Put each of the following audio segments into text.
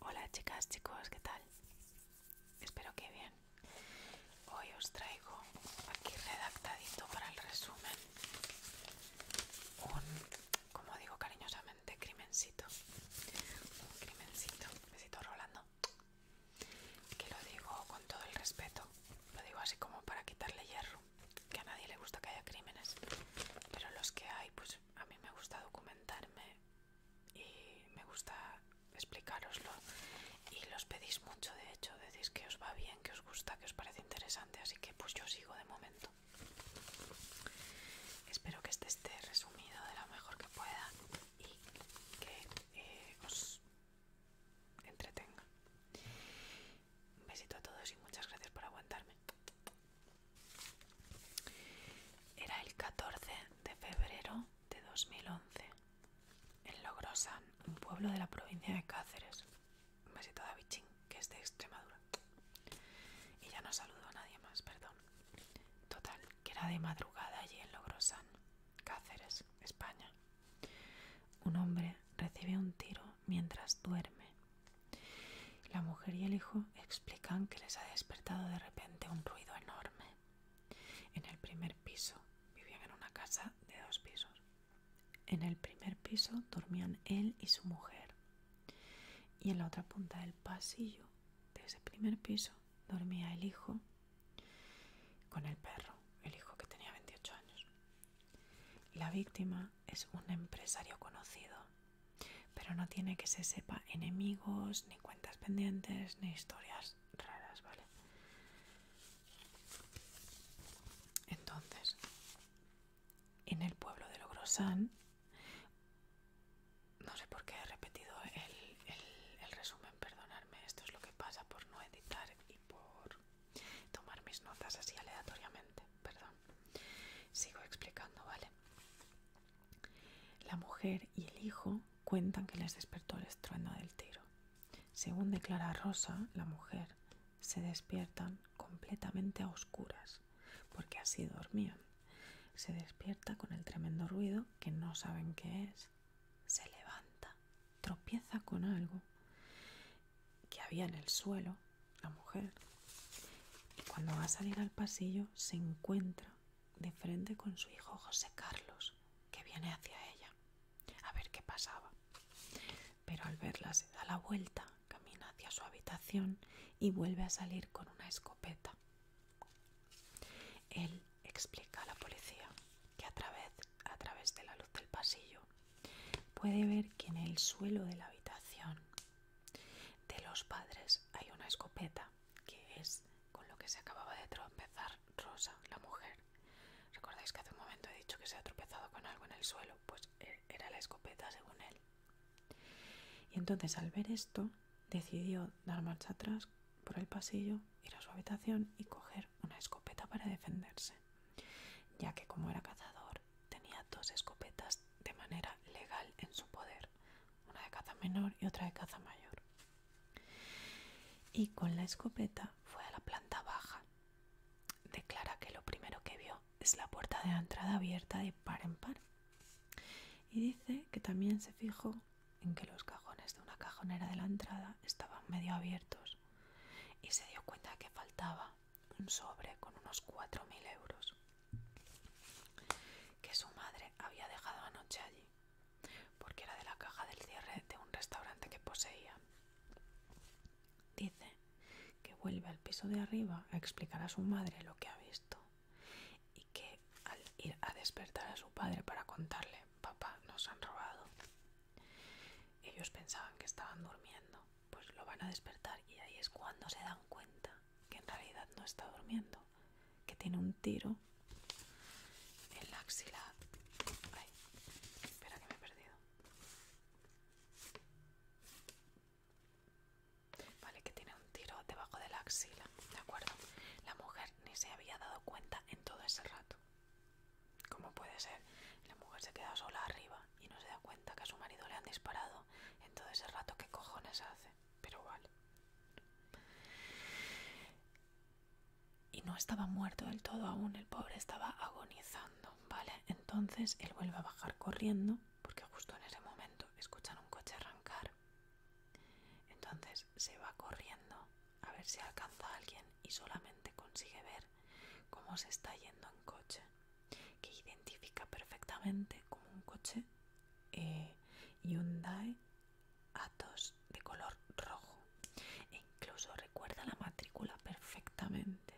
Hola chicas, chicos, ¿qué tal? Espero que bien. Hoy os traigo aquí redactadito para el resumen un, como digo cariñosamente, crimencito. Un crimencito. Besito Rolando. Que lo digo con todo el respeto. Lo digo así como para quitarle hierro que a nadie le gusta que haya crímenes, pero los que hay, pues a mí me gusta documentarme y me gusta explicaroslo y los pedís mucho, de hecho, decís que os va bien, que os gusta, que os parece interesante, así que pues yo sigo de momento. Espero que este esté resumido de lo mejor que pueda y que eh, os entretenga. Un besito a todos y muchas gracias por aguantarme. Era el 14 de febrero de 2011, en Logrosan, un pueblo de la provincia de Cáceres. Un besito a Ching, que es de Extremadura. Y ya no saludo a nadie más, perdón. Total, que era de madrugada allí en Logrosan, Cáceres, España. Un hombre recibe un tiro mientras duerme. La mujer y el hijo explican que les ha despertado de repente un ruido enorme. En el primer piso vivían en una casa de dos pisos. En el primer piso dormían él y su mujer. Y en la otra punta del pasillo de ese primer piso dormía el hijo con el perro, el hijo que tenía 28 años. La víctima es un empresario conocido, pero no tiene que se sepa enemigos, ni cuentas pendientes, ni historias raras, ¿vale? Entonces, en el pueblo de Logrosán, no sé por qué he repetido el, resumen, perdonarme, esto es lo que pasa por no editar y por tomar mis notas así aleatoriamente, perdón. Sigo explicando, ¿vale? La mujer y el hijo cuentan que les despertó el estruendo del tiro. Según declara Rosa, la mujer, se despiertan completamente a oscuras, porque así dormían. Se despierta con el tremendo ruido que no saben qué es. Se levanta, tropieza con algo que había en el suelo, la mujer, y cuando va a salir al pasillo se encuentra de frente con su hijo José Carlos, que viene hacia ella, a ver qué pasaba. Pero al verla se da la vuelta, camina hacia su habitación y vuelve a salir con una escopeta. Él explica a la policía que a través, a través de la luz del pasillo Puede ver que en el suelo de la habitación de los padres hay una escopeta, que es con lo que se acababa de tropezar Rosa, la mujer. ¿Recordáis que hace un momento he dicho que se ha tropezado con algo en el suelo? Pues eh, era la escopeta, según él. Y entonces al ver esto, decidió dar marcha atrás por el pasillo, ir a su habitación y coger una escopeta para defenderse ya que como era cazador tenía dos escopetas de manera legal en su poder, una de caza menor y otra de caza mayor. Y con la escopeta fue a la planta baja. Declara que lo primero que vio es la puerta de la entrada abierta de par en par. Y dice que también se fijó en que los cajones de una cajonera de la entrada estaban medio abiertos y se dio cuenta que faltaba un sobre con unos 4.000 euros que su madre había dejado anoche allí, porque era de la caja del cierre de un restaurante que poseía. Dice que vuelve al piso de arriba a explicar a su madre lo que ha visto y que al ir a despertar a su padre para contarle, papá, nos han robado, ellos pensaban que estaban durmiendo pues lo van a despertar y ahí es cuando se dan cuenta que en realidad no está durmiendo, que tiene un tiro en la axila. espera que me he perdido. Vale, que tiene un tiro debajo de la axila, ¿de acuerdo? La mujer ni se había dado cuenta en todo ese rato. ¿Cómo puede ser? La mujer se queda sola arriba y no se da cuenta que a su marido le han disparado en todo ese rato. ¿Qué cojones hace? Pero vale. Y no estaba muerto del todo aún, el pobre estaba agonizando, ¿vale? Entonces él vuelve a bajar corriendo, porque justo en ese momento escuchan un coche arrancar. Entonces se va corriendo a ver si alcanza a alguien y solamente consigue ver cómo se está yendo en coche, que identifica perfectamente como un coche Hyundai eh, Atos de color rojo e incluso recuerda la matrícula perfectamente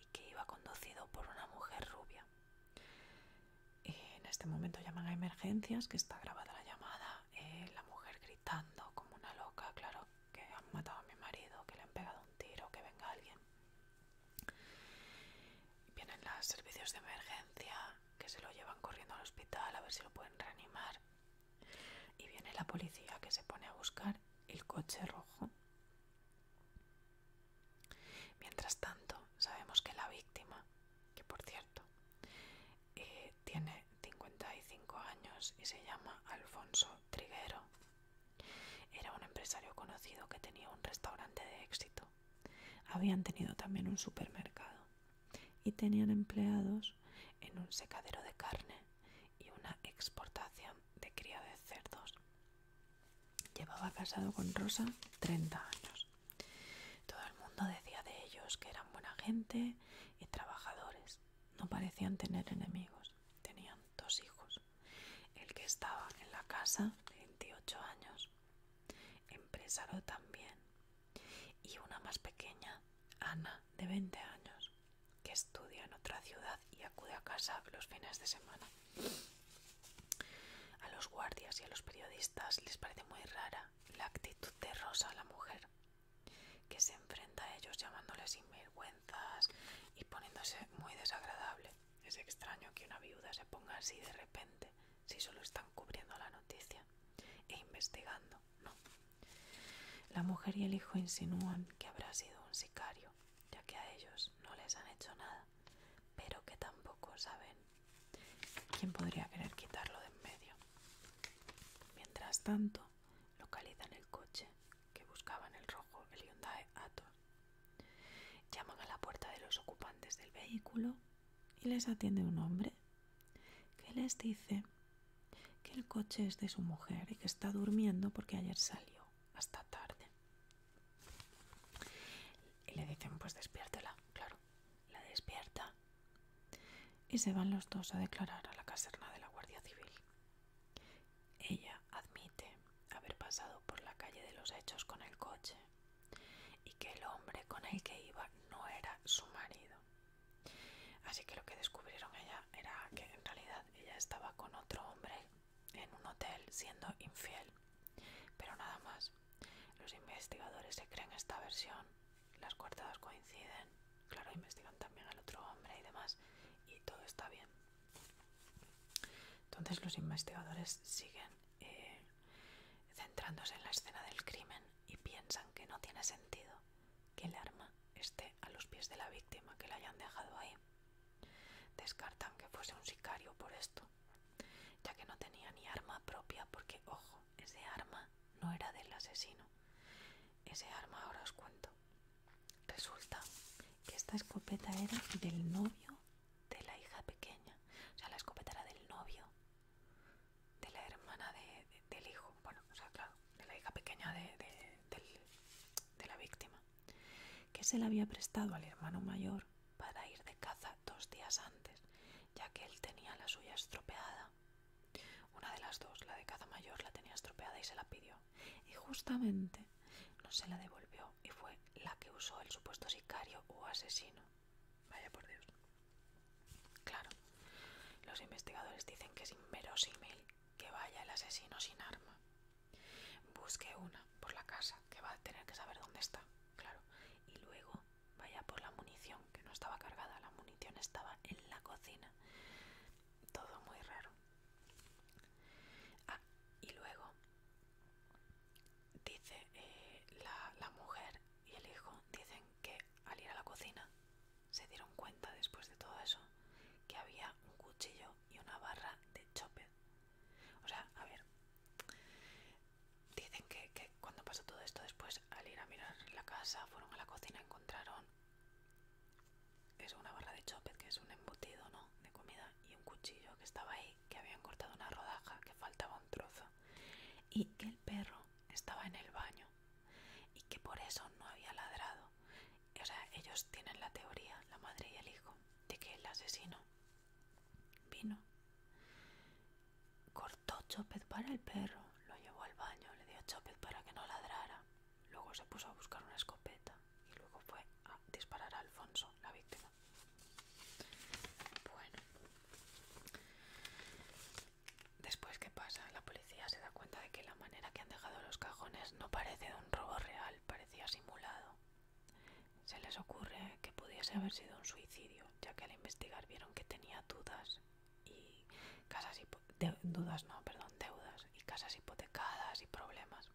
y que iba conducido por una mujer rubia. En este momento llaman a emergencias, que está grabada la llamada, eh, la mujer gritando como una loca, claro, que han matado a mi marido, que le han pegado un tiro, que venga alguien. Vienen los servicios de emergencia, que se lo llevan corriendo al hospital a ver si lo pueden reanimar. Y viene la policía que se pone a buscar el coche rojo. Mientras tanto, sabemos que la víctima, que por cierto, eh, tiene 55 años y se llama Alfonso Triguero, era un empresario conocido que tenía un restaurante de éxito. Habían tenido también un supermercado y tenían empleados en un secadero de carne y una exportación de cría de cerdos. Llevaba casado con Rosa 30 años. Todo el mundo decía de ellos que eran buena gente y trabajadores. No parecían tener enemigos tenían dos hijos, el que estaba en la casa de 28 años, empresario también, y una más pequeña, Ana, de 20 años, que estudia en otra ciudad y acude a casa los fines de semana. A los guardias y a los periodistas les parece muy rara la actitud de Rosa, la mujer, que se enfrenta a ellos llamándoles sinvergüenzas y poniéndose muy desagradable. Es extraño que una viuda se ponga así de repente si solo están cubriendo la noticia e investigando, ¿no? La mujer y el hijo insinúan que habrá sido un sicario, ya que a ellos no les han hecho nada, pero que tampoco saben quién podría querer quitarlo de en medio. Mientras tanto, localizan el coche que buscaban el rojo, el Hyundai Llaman a la puerta de los ocupantes del vehículo y les atiende un hombre que les dice que el coche es de su mujer y que está durmiendo porque ayer salió hasta tarde. Y le dicen, pues despiértela, claro, la despierta. Y se van los dos a declarar a la caserna de la Guardia Civil ella admite haber pasado por la calle de los hechos con el coche y que el hombre con el que iba no era su marido. Así que lo que descubrieron ella era que en realidad ella estaba con otro hombre en un hotel siendo infiel. Pero nada más, los investigadores se creen esta versión, las cuartadas coinciden Claro, investigan también al otro hombre y demás, y todo está bien. Entonces los investigadores siguen eh, centrándose en la escena del crimen y piensan que no tiene sentido que el arma esté a los pies de la víctima, que la hayan dejado ahí. Descartan que fuese un sicario por esto, ya que no tenía ni arma propia, porque, ojo, ese arma no era del asesino. Ese arma ahora os cuento. Resulta que esta escopeta era del novio de la hija pequeña. O sea, la escopeta era del novio de la hermana del hijo. Bueno, o sea, claro, de la hija pequeña de, de la víctima. Que se la había prestado al hermano mayor para ir de caza dos días antes, ya que él tenía la suya estropeada una de las dos, la de caza mayor, la tenía estropeada y se la pidió. Y justamente no se la devolvió y fue la que usó el supuesto sicario o asesino. Vaya por Dios. Claro, los investigadores dicen que es inverosímil que vaya el asesino sin arma. Busque una por la casa, que va a tener que saber dónde está, claro. Y luego vaya por la munición, que no estaba cargada, la munición estaba en la cocina todo muy raro. Ah, y luego dice eh, la, mujer y el hijo dicen que al ir a la cocina se dieron cuenta después de todo eso que había un cuchillo y una barra de chope. O sea, a ver, dicen que, que cuando pasó todo esto después al ir a mirar la casa fueron a la cocina encontraron es una barra de chopet que es un embutido no de comida y un cuchillo que estaba ahí que habían cortado una rodaja que faltaba un trozo y que el perro estaba en el baño y que por eso no había ladrado o sea ellos tienen la teoría la madre y el hijo de que el asesino vino cortó chopet para el perro lo llevó al baño le dio chopet para que no ladrara Luego se puso a buscar una escopeta y luego fue a disparar a Alfonso, la víctima. Bueno. Después, ¿qué pasa? La policía se da cuenta de que la manera que han dejado los cajones no parece un robo real, parecía simulado. Se les ocurre que pudiese haber sido un suicidio, ya que al investigar vieron que tenía dudas y casas no, perdón, deudas y casas hipotecadas y problemas.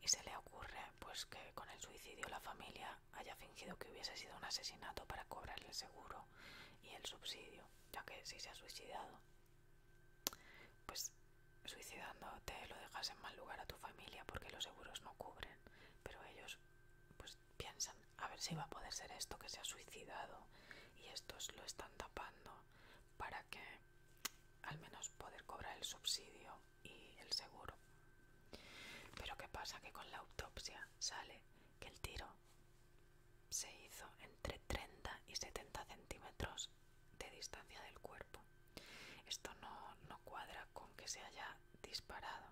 Y se le ocurre pues que con el suicidio la familia haya fingido que hubiese sido un asesinato para cobrarle el seguro y el subsidio, ya que si se ha suicidado, pues suicidándote lo dejas en mal lugar a tu familia porque los seguros no cubren, pero ellos pues piensan, a ver si va a poder ser esto que se ha suicidado y estos lo están tapando para que al menos poder cobrar el subsidio y el seguro. Pero ¿qué pasa? Que con la autopsia sale que el tiro se hizo entre 30 y 70 centímetros de distancia del cuerpo. Esto no, no cuadra con que se haya disparado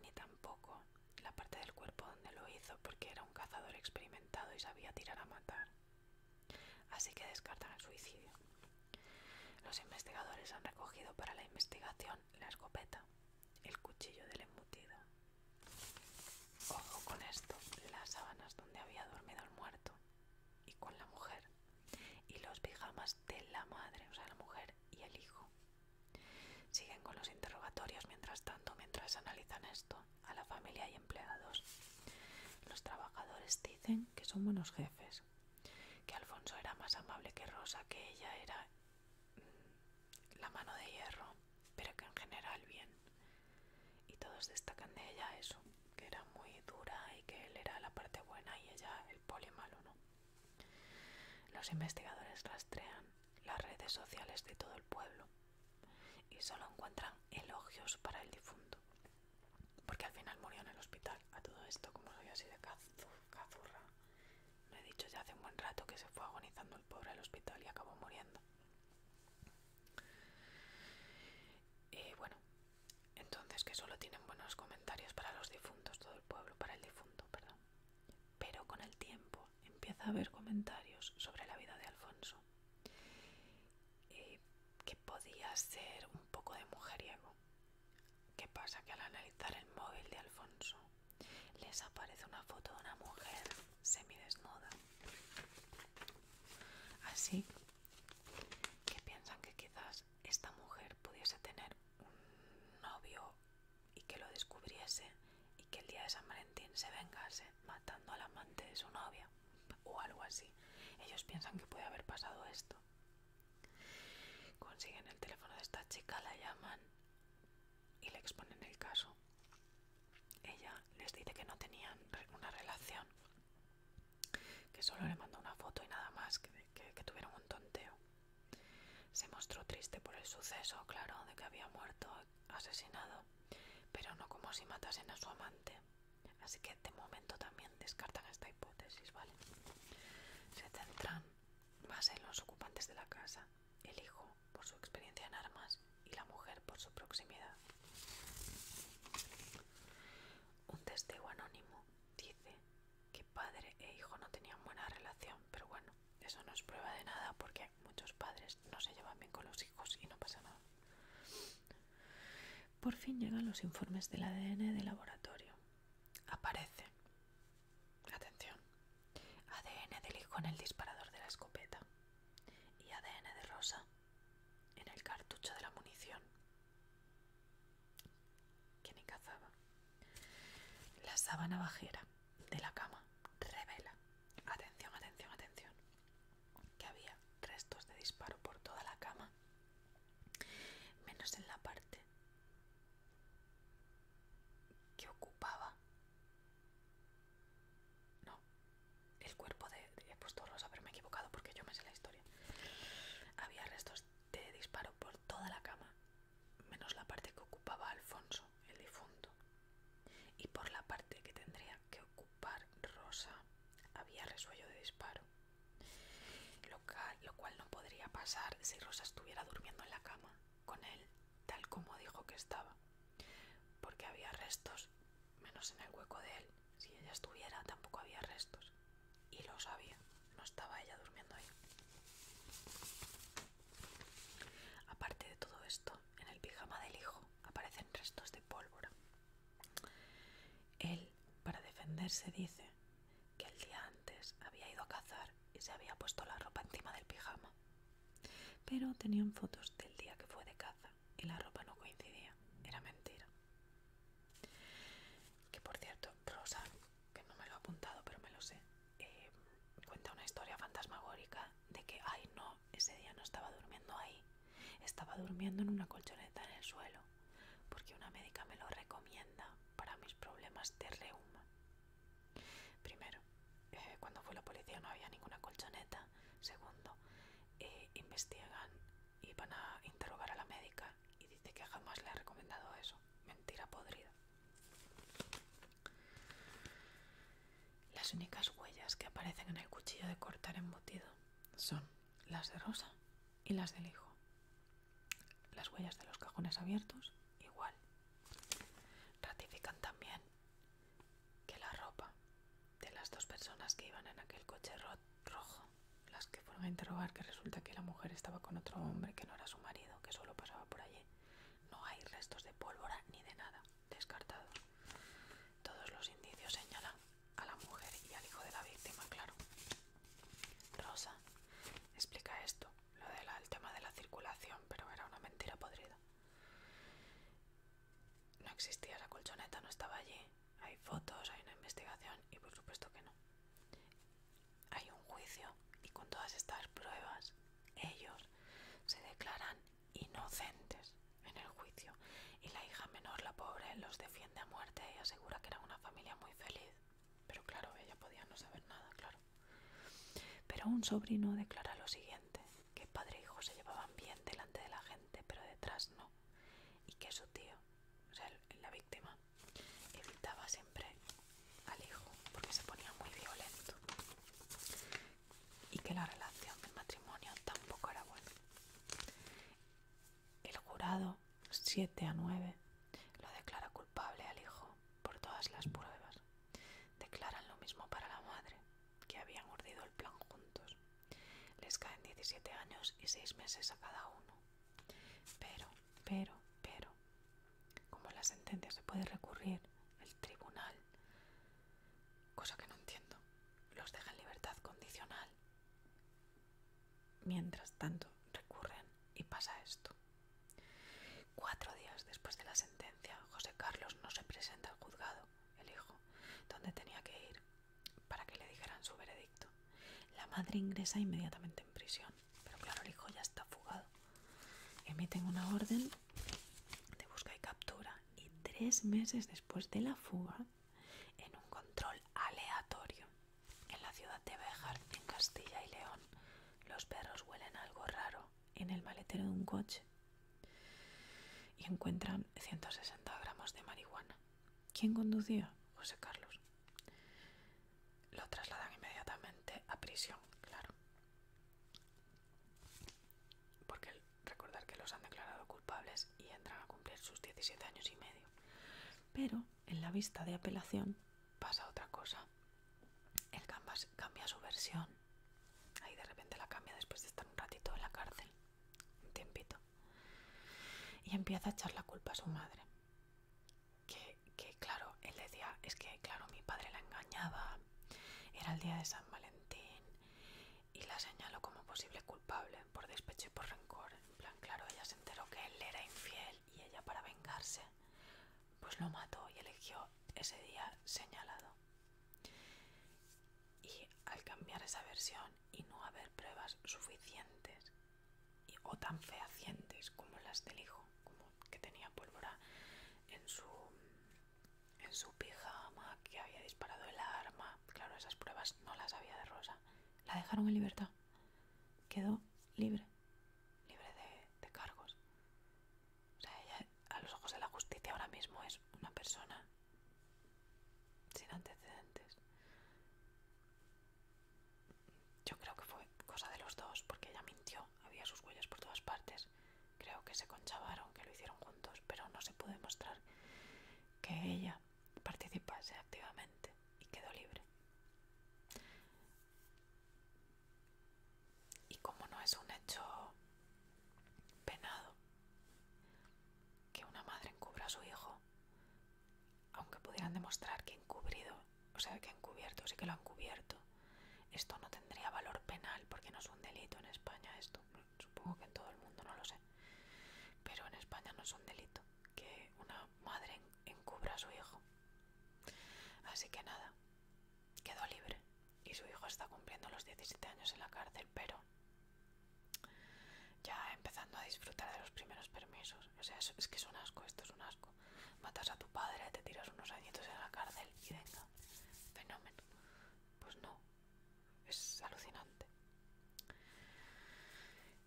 ni tampoco la parte del cuerpo donde lo hizo porque era un cazador experimentado y sabía tirar a matar. Así que descartan el suicidio. Los investigadores han recogido para la investigación la escopeta, el cuchillo del embutido. Ojo con esto, las sábanas donde había dormido el muerto y con la mujer y los pijamas de la madre, o sea, la mujer y el hijo. Siguen con los interrogatorios mientras tanto, mientras analizan esto a la familia y empleados. Los trabajadores dicen que son buenos jefes, que Alfonso era más amable que Rosa, que ella era mm, la mano de hierro, pero que en general bien. Y todos destacan de ella eso, que era muy dura y que él era la parte buena y ella el poli malo, ¿no? Los investigadores rastrean las redes sociales de todo el pueblo y solo encuentran elogios para el difunto. Porque al final murió en el hospital. A todo esto, como lo soy así de cazurra, lo he dicho ya hace un buen rato que se fue agonizando el pobre al hospital y acabó muriendo. Y bueno, entonces que solo tienen buenos comentarios para los difuntos, todo el pueblo, para el difunto, perdón. Pero con el tiempo empieza a haber comentarios sobre la vida de Alfonso, eh, que podía ser un poco de mujeriego. ¿Qué pasa? Que al analizar el móvil de Alfonso les aparece una foto de una mujer semidesnuda. Así que piensan que quizás esta mujer pudiese tener un novio y que lo descubriese y que el día de San Valentín se vengase matando al amante de su novia o algo así. Ellos piensan que puede haber pasado esto. Consiguen el teléfono de esta chica, la llaman y le exponen el caso. Ella les dice que no tenían una relación, que solo le mandó una foto y nada más, que, tuvieron un tonteo. Se mostró triste por el suceso, claro, de que había muerto asesinado, pero no como si matasen a su amante. Así que de momento también descartan esta hipótesis, ¿vale? Se centran más en los ocupantes de la casa, el hijo por su experiencia en armas y la mujer por su proximidad. Un testigo anónimo dice que padre e hijo no tenían buena relación, pero bueno, eso no es prueba de nada porque muchos padres no se llevan bien con los hijos y no pasa nada. Por fin llegan los informes del ADN del laboratorio. Aparece. Atención. ADN del hijo en el disparador de la escopeta. Y ADN de Rosa en el cartucho de la munición. Que ni cazaba. La sábana bajera de la cama revela, atención, atención, atención, que había restos de disparo por toda la cama, menos en la parte que ocupaba. No, el cuerpo de, de. He puesto rosa, haberme equivocado porque yo me sé la historia. Había restos de disparo por toda la cama, menos la parte que ocupaba Alfonso, el difunto, y por la parte que tendría que ocupar Rosa había resuello de disparo, lo, lo cual no podría pasar si Rosa estuviera durmiendo en la cama con él, tal como dijo que estaba, porque había restos, menos en el hueco de él, si ella estuviera tampoco había restos, y lo sabía, no estaba ella durmiendo ahí. Aparte de todo esto, en el pijama del hijo aparecen restos de pólvora. Él, para defenderse, dice que el día antes había ido a cazar y se había puesto la ropa encima del pijama. Pero tenían fotos del día que fue de caza y la ropa no coincidía. Era mentira. Que por cierto, Rosa que no me lo ha apuntado, pero me lo sé, eh, cuenta una historia fantasmagórica de que, ay no, ese día no estaba durmiendo ahí, estaba durmiendo en una colchoneta en el suelo, porque una médica me lo recomienda para mis problemas de reuma. Primero, eh, cuando fue la policía no había ninguna colchoneta. Segundo, eh, investigan y van a interrogar a la médica y dice que jamás le ha recomendado eso. Mentira podrida. Las únicas huellas que aparecen en el cuchillo de cortar embutido son las de Rosa y las del hijo. Las huellas de los cajones abiertos, igual. Ratifican también que la ropa de las dos personas que iban en aquel coche rojo, las que fueron a interrogar que resulta que la mujer estaba con otro hombre que no era su marido, que solo pasaba por allí, no hay restos de pólvora ni de nada, Descartado. Todos los indicios señalan a la mujer y al hijo de la víctima, claro. Rosa explica esto, lo del tema de la circulación, pero era una mentira podrida. No existía la colchoneta, no estaba allí. Hay fotos, hay una investigación y por supuesto que no hay un juicio y con todas estas pruebas ellos se declaran inocentes en el juicio y la hija menor, la pobre, los defiende a muerte y asegura que era una familia muy feliz. Pero claro, ella podía no saber nada, claro. Pero un sobrino declara lo siguiente, que padre e hijo se llevaban bien delante de la gente, pero detrás no. Y que su tío, o sea, la víctima, evitaba siempre al hijo porque se ponía muy violento y que la relación del matrimonio tampoco era buena. El jurado 7 a 9 lo declara culpable al hijo por todas las pruebas. Declaran lo mismo para la madre, que habían urdido el plan juntos. Les caen 17 años y 6 meses a cada uno. Pero, pero, pero, como la sentencia se puede recurrir el tribunal, cosa que no entiendo, los deja en libertad condicional. Mientras tanto, recurren y pasa esto. Cuatro días después de la sentencia, José Carlos no se presenta al juzgado, el hijo, donde tenía que ir, para que le dijeran su veredicto. La madre ingresa inmediatamente en prisión pero claro, el hijo ya está fugado. Emiten una orden de busca y captura y tres meses después de la fuga, en un control aleatorio en la ciudad de Béjar, en Castilla y León, los perros huelen algo raro en el maletero de un coche y encuentran 160 gramos de marihuana. ¿Quién conducía? José Carlos lo trasladan inmediatamente a prisión, claro. Porque recordar que los han declarado culpables y entran a cumplir sus 17 años y medio. Pero en la vista de apelación pasa otra cosa. Él cambia su versión. Ahí de repente la cambia después de estar un ratito en la cárcel. Un tiempito. Y empieza a echar la culpa a su madre que, claro, él decía, es que claro, mi padre la engañaba, era el día de San Valentín y la señaló como posible culpable por despecho y por rencor. En plan, claro, ella se enteró que él era infiel y ella para vengarse, pues lo mató y eligió ese día señalado. Y al cambiar esa versión y no haber pruebas suficientes o tan fehacientes como las del hijo, como que tenía pólvora en su, en su pijama, que había disparado el arma. Claro, esas pruebas no las había de Rosa. La dejaron en libertad. Quedó libre, libre de, de cargos. O sea, ella a los ojos de la justicia ahora mismo es una persona sin antecedentes. Yo creo que fue cosa de los dos, porque ella mintió, había sus huellas por todas partes. Creo que se conchavaron, que lo hicieron juntos, pero no se pudo demostrar que ella participase activamente y quedó libre. Y como no es un hecho penado que una madre encubra a su hijo, aunque pudieran demostrar que encubrido, o sea, que encubierto, sí que lo han cubierto, esto no tendría valor penal porque no es un delito en España esto. Supongo que en todo el mundo, no lo sé. Pero en España no es un delito que una madre encubra a su hijo. Así que nada, quedó libre y su hijo está cumpliendo los 17 años en la cárcel, pero ya empezando a disfrutar de los primeros permisos. O sea, es que es un asco, esto es un asco. Matas a tu padre, te tiras unos añitos en la cárcel y venga, fenómeno. Pues no, es alucinante.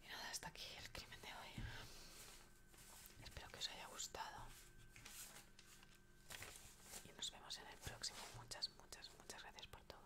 Y nada, hasta aquí el crimen de hoy. Espero que os haya gustado. Y nos vemos en el próximo. Muchas, muchas, muchas gracias por todo.